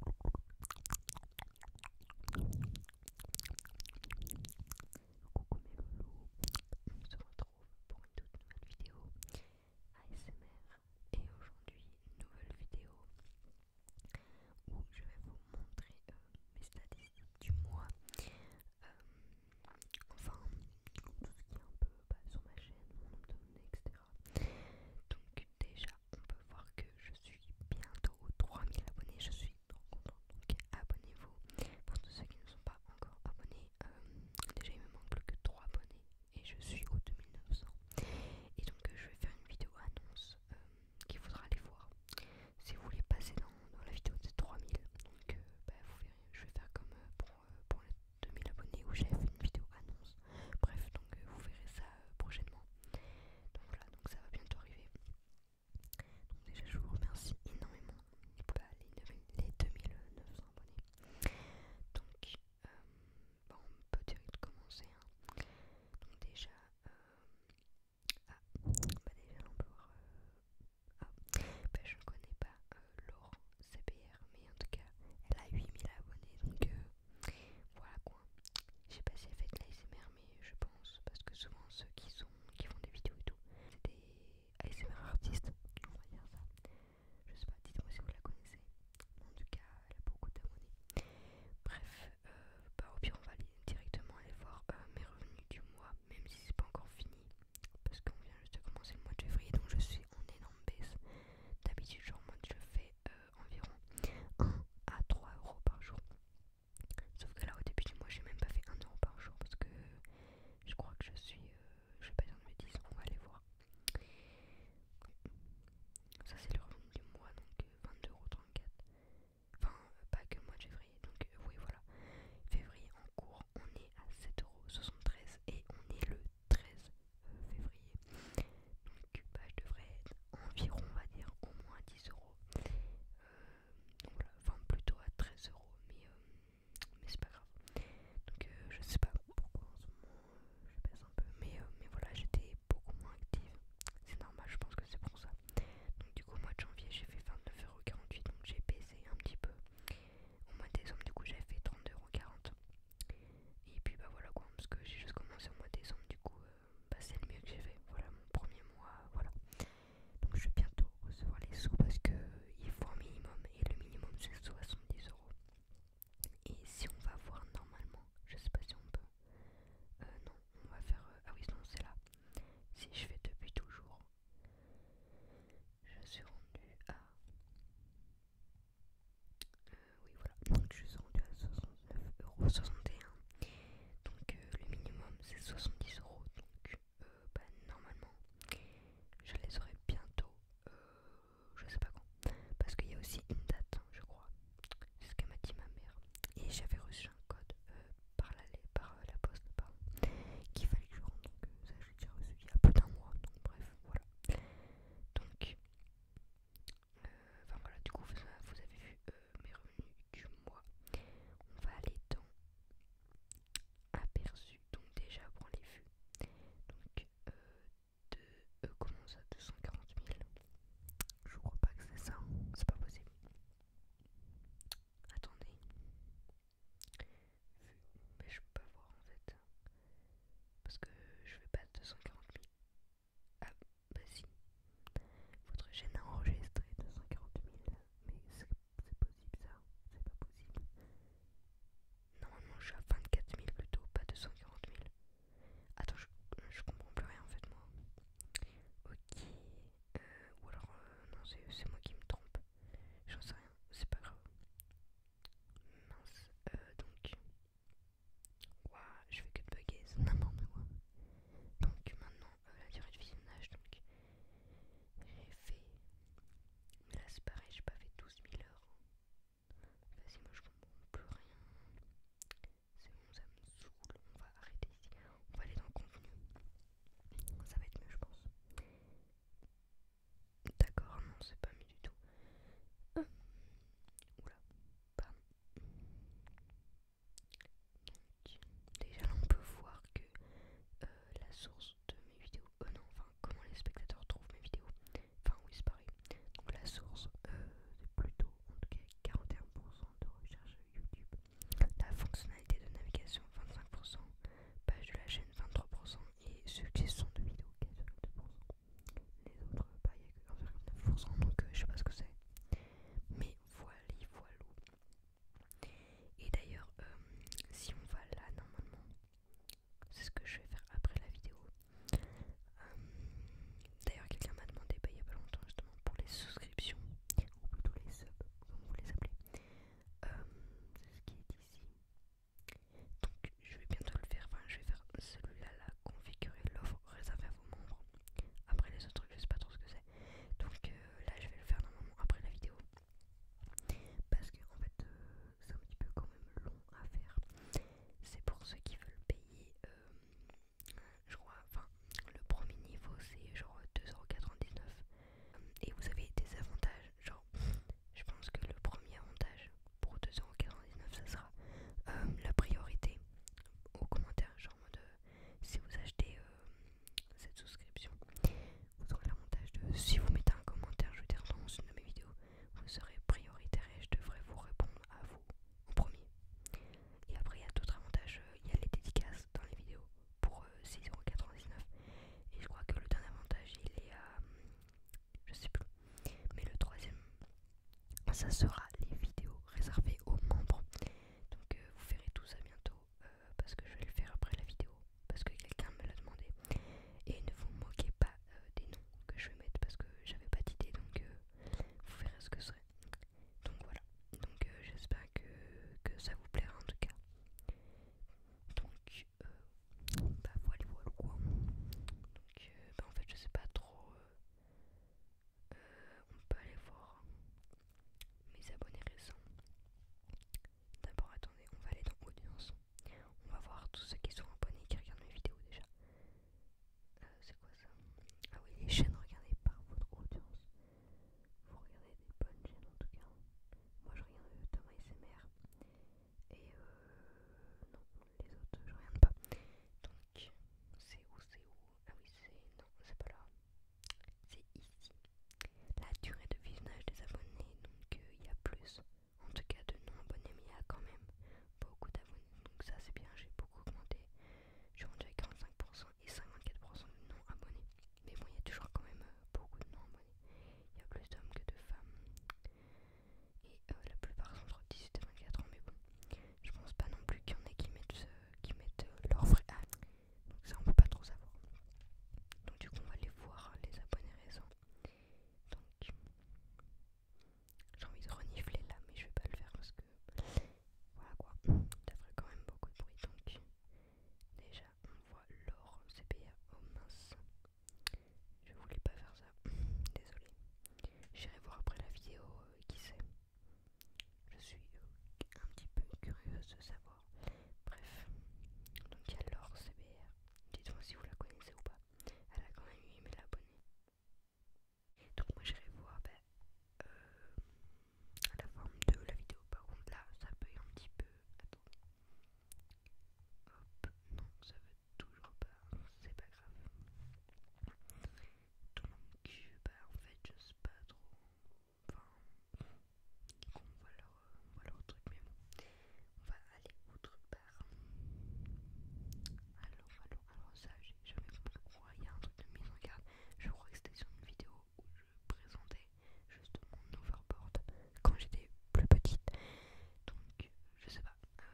Coucou mes loulous, on se retrouve pour une toute nouvelle vidéo ASMR et aujourd'hui une nouvelle vidéo où je vais vous montrer mes statistiques du mois enfin tout ce qui est un peu bah, sur ma chaîne, mon monnaie, etc donc déjà on peut voir que je suis bientôt aux 3000 abonnés. Je suis trop contente. Donc abonnez-vous. Pour tous ceux qui ne sont pas encore abonnés, euh, déjà il me manque que 3 abonnés et je suis aux 2900. Et donc je vais faire une vidéo annonce euh, qu'il faudra aller voir. Si vous voulez passer dans, la vidéo des 3000, donc euh, bah, vous verrez, je vais faire comme pour, pour les 2000 abonnés où j'ai fait une vidéo annonce Bref, donc euh, vous verrez ça euh, prochainement. Donc voilà, donc ça va bientôt arriver. Donc déjà je vous remercie énormément pour les, 2900 abonnés. Donc euh, on peut direct commencer. Hein. Donc déjà, ah, bah déjà on peut voir, ah, bah, je ne connais pas Laurent CBR, mais en tout cas elle a 8000 abonnés, donc euh, voilà quoi. je J'ai si elle fait de l'ASMR, mais je pense, parce que souvent ceux qui, sont, qui font des vidéos et tout, c'est des ASMR artistes, on va dire ça. Je sais pas, dites-moi si vous la connaissez. En tout cas, elle a beaucoup d'abonnés. Bref, euh, bah, au pire, on va directement aller voir euh, mes revenus du mois, même si c'est pas encore fini, parce qu'on vient juste de commencer le mois de février, donc je suis en énorme baisse. D'habitude, genre, moi je fais. Euh, environ 1 à 3 euros par jour. Sauf que là au début du mois j'ai même pas fait 1 euro par jour parce que je crois que je suis euh, je vais pas dire de 10 on va aller voir. Ça c'est le revenu du mois donc euh, euros 22,34€. Enfin pas que mois de février, donc euh, oui voilà. Février en cours on est à euros et on est le 13 février. Donc bah, je devrais être environ, on va dire, au moins 10 euros. Euh, donc voilà enfin plutôt à 13 euros, euh, mais, c'est pas grave. Donc euh, je sais pas pourquoi en ce moment je baisse un peu, mais, mais voilà, j'étais beaucoup moins active. C'est normal, je pense que c'est pour ça. Donc du coup, au mois de janvier, j'ai fait 29,48€, donc j'ai baissé un petit peu. Au mois de décembre, du coup, j'ai fait 32,40€. Et puis bah voilà quoi, parce que j'ai juste commencé au mois de décembre, du coup, bah, c'est le mieux que j'ai fait. Voilà mon premier mois, voilà. Donc je vais bientôt recevoir les sous parce que il faut un minimum et le minimum c'est 70 euros. Et si on va voir normalement, je sais pas si on peut. Euh, non, on va faire. Euh, ah oui, non, c'est là. Si je fais depuis toujours, je suis rendu à euh, oui voilà, donc je suis rendue à 69,61€. Donc euh, le minimum c'est 70€. Donc euh, bah, normalement je les aurai bientôt. je sais pas quand. Parce qu'il y a aussi une date, hein, je crois. C'est ce qu'a m'a dit ma mère. Et j'avais reçu un code par, la, par la poste, qu'il fallait que je rende. Donc ça j'ai déjà reçu il y a plus d'un mois. Donc bref, voilà. Donc euh, enfin voilà, du coup, vous, avez vu euh, mes revenus du mois. On va aller dans aperçu, donc déjà pour les vues. Donc, euh, comment ça 240 000 Je crois pas que c'est ça, hein. c'est pas possible. Attendez. Mais je peux pas voir en fait. Parce que je vais pas 240 000. Ah, bah si. Votre chaîne a enregistré 240 000, mais c'est possible ça C'est pas possible. Normalement, je suis à 24 000 plutôt, pas 240 000. Attends, je, comprends plus rien en fait, moi. Ok. Euh, ou alors, euh, non, c'est moi qui me trompe. J'en sais rien, c'est pas grave. Mince. Euh, donc, Ouah, je fais que bugger, c'est n'importe quoi. Donc maintenant, euh, la durée de visionnage, donc j'ai fait. Mais là c'est pareil, j'ai pas fait 12 000 heures. Vas-y, moi je comprends plus rien. C'est bon, ça me saoule. On va arrêter ici. On va aller dans le contenu. Ça va être mieux, je pense. D'accord, non, c'est pas mieux du tout. Hum. oula, déjà, on peut voir que euh, la source de mes vidéos, oh non, enfin, comment les spectateurs trouvent mes vidéos, enfin, oui, c'est pareil. Donc, la source, euh, plutôt, en tout cas, 41% de recherche YouTube. La fonctionnalité de navigation, 25%. Page de la chaîne, 23%. Et suggestion de vidéos, 42%. Les autres, pas, bah, il n'y a que donc euh, je sais pas ce que c'est. Mais voilà, Et d'ailleurs, euh, si on va là, normalement, c'est ce que je vais faire après la vidéo. Euh, d'ailleurs, quelqu'un m'a demandé, bah, il n'y a pas longtemps, justement, pour les souscriptions, ou plutôt les subs, comme vous les appelez. c'est ce qui est ici. Donc, je vais bientôt le faire, enfin, je vais faire celui-là, là, configurer l'offre réservée après les autres trucs, je sais pas trop ce que c'est. Donc euh, là, je vais le faire moment après la vidéo. Parce que en fait, euh, c'est un petit peu quand même long à faire. C'est pour ceux qui veulent payer, euh, je crois, enfin, le premier niveau c'est genre 2,99€. Et vous avez des avantages, genre, je pense que le premier avantage pour 2,99€, ça sera euh, la priorité Au commentaires. Genre, de, euh, si vous achetez euh, cette souscription, vous aurez l'avantage de. Si vous mettez un commentaire, je veux dire, dans une de mes vidéos, vous serez prioritaire et je devrais vous répondre à vous en premier. Et après, il y a d'autres avantages il y a les dédicaces dans les vidéos pour 6,99€. Et je crois que le dernier avantage, il est à. Je sais plus. Mais le troisième ça sera les vidéos réservées aux membres. Donc euh, vous verrez tout ça bientôt euh, parce que je vais le faire après la vidéo parce que quelqu'un me l'a demandé. Et ne vous moquez pas euh, des noms que je vais mettre parce que j'avais pas d'idée donc vous verrez ce que serait. Donc voilà. Donc j'espère que, ça vous plaira en tout cas. Donc bah voilà quoi. Donc bah, en fait je sais pas trop on peut aller voir mes abonnés récents. D'abord, attendez, on va aller dans Audience. On va voir tous ceux qui sont abonnés qui regardent mes vidéos déjà. Euh, c'est quoi ça Ah oui, les chaînes regardées par votre audience. Vous regardez des bonnes chaînes en tout cas. Moi je regarde euh, Thomas SMR. Et euh. Non, les autres je regarde pas. Donc c'est où, c'est où Ah oui c'est... non c'est pas là. C'est ici. La durée de visionnage des abonnés, donc euh, il y a plus. En tout cas de non-abonnés, mais il y a quand même beaucoup d'abonnés. Donc ça c'est bien, j'ai beaucoup augmenté. Je suis rendu à 45% et 54% de non-abonnés. Mais bon, il y a toujours quand même euh, beaucoup de non-abonnés. Il y a plus d'hommes que de femmes et euh, la plupart sont entre 18 et 24 ans, mais bon, je pense pas non plus qu'il y en ait qui mettent, ce... qui euh, leur vrai âge, donc ça on peut pas trop savoir. Donc du coup on va les voir, les abonnés récents. Donc j'ai envie de renifler là, mais je vais pas le faire parce que voilà quoi, ça ferait quand même beaucoup de bruit. Donc déjà on voit l'or CPA, au oh mince, je voulais pas faire ça, désolé. J'irai voir après la vidéo, euh, qui sait. Je suis euh, un petit peu curieuse de savoir. Bref, donc il y a l'or CBR. Dites-moi si vous la connaissez ou pas. Elle a quand même 8000 abonnés. Donc moi j'irai voir ben, euh, la forme de la vidéo. Par contre là, ça peut un petit peu... attends Hop, non, ça veut toujours pas. C'est pas grave tout le monde qui, bah en fait je sais pas trop, enfin, on voilà leur, truc, mais bon, on va aller au truc, truc Alors, alors, alors ça j'ai jamais compris quoi, il y a un truc de mise en garde, je crois que c'était sur une vidéo où je présentais justement, mon overboard quand j'étais plus petite, donc je sais pas, euh,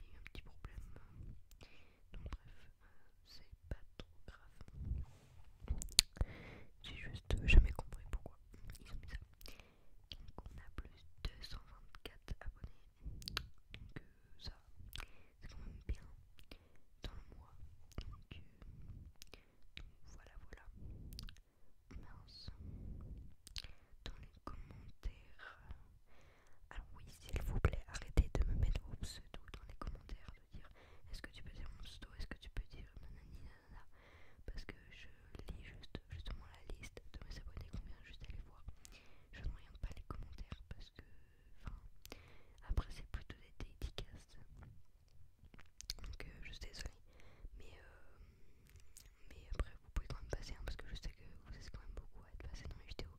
il y a eu un petit problème. Donc bref, c'est pas trop grave. J'ai juste jamais compris pourquoi ils ont mis ça. Donc on a plus de 224 abonnés. Donc euh, ça, c'est quand même bien dans le mois. Donc, euh, voilà, voilà. Dans les commentaires, alors oui, s'il vous plaît, arrêtez de me mettre vos pseudos dans les commentaires, de dire est-ce que tu peux dire mon pseudo, est-ce que tu peux dire nanani nanana, parce que je lis juste justement la liste de mes abonnés combien, juste aller voir. Je ne regarde pas les commentaires parce que, enfin, après c'est plutôt des dédicaces. Donc euh, je suis désolée, mais euh, mais après vous pouvez quand même passer hein, parce que je sais que vous êtes quand même beaucoup à être passé dans mes vidéos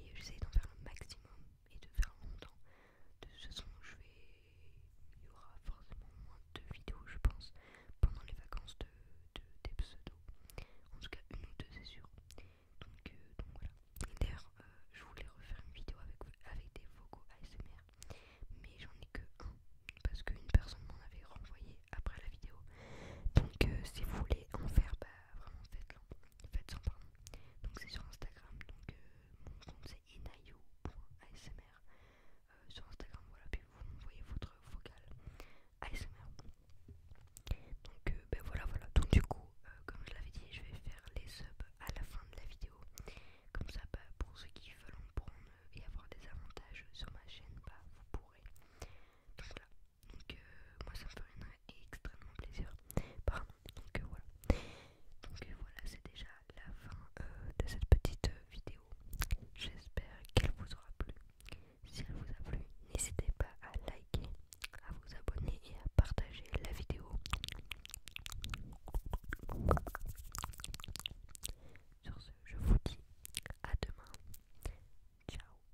et j'essaie d'en faire le maximum et de faire longtemps. De toute façon, je vais... il y aura forcément moins de vidéos, je pense, pendant les vacances de, de des pseudos. En tout cas, une ou deux, c'est sûr. Donc, euh, voilà. D'ailleurs, euh, je voulais refaire une vidéo avec, avec des vocaux ASMR, mais j'en ai que un parce qu'une personne m'en avait renvoyé après la vidéo. Donc, euh, si vous voulez en faire, bah, vraiment faites-le. pardon. Donc c'est sur Instagram. Donc euh, mon compte c'est inayo.asmr. Euh, sur Instagram, voilà. Puis vous m'envoyez votre vocal ASMR. Donc euh, ben voilà, voilà. Donc du coup, comme je l'avais dit, je vais faire les subs à la fin de la vidéo. Comme ça, bah, pour ceux qui veulent en prendre et avoir des avantages sur ma chaîne, bah, vous pourrez. Donc là, donc euh, moi ça me ferait extrêmement plaisir. Donc euh, voilà. Donc euh, voilà, c'est déjà la fin de cette petite vidéo. J'espère qu'elle vous aura plu. Si elle vous a plu, n'hésitez pas à liker, à vous abonner et à partager la vidéo. Sur ce, je vous dis à demain. Ciao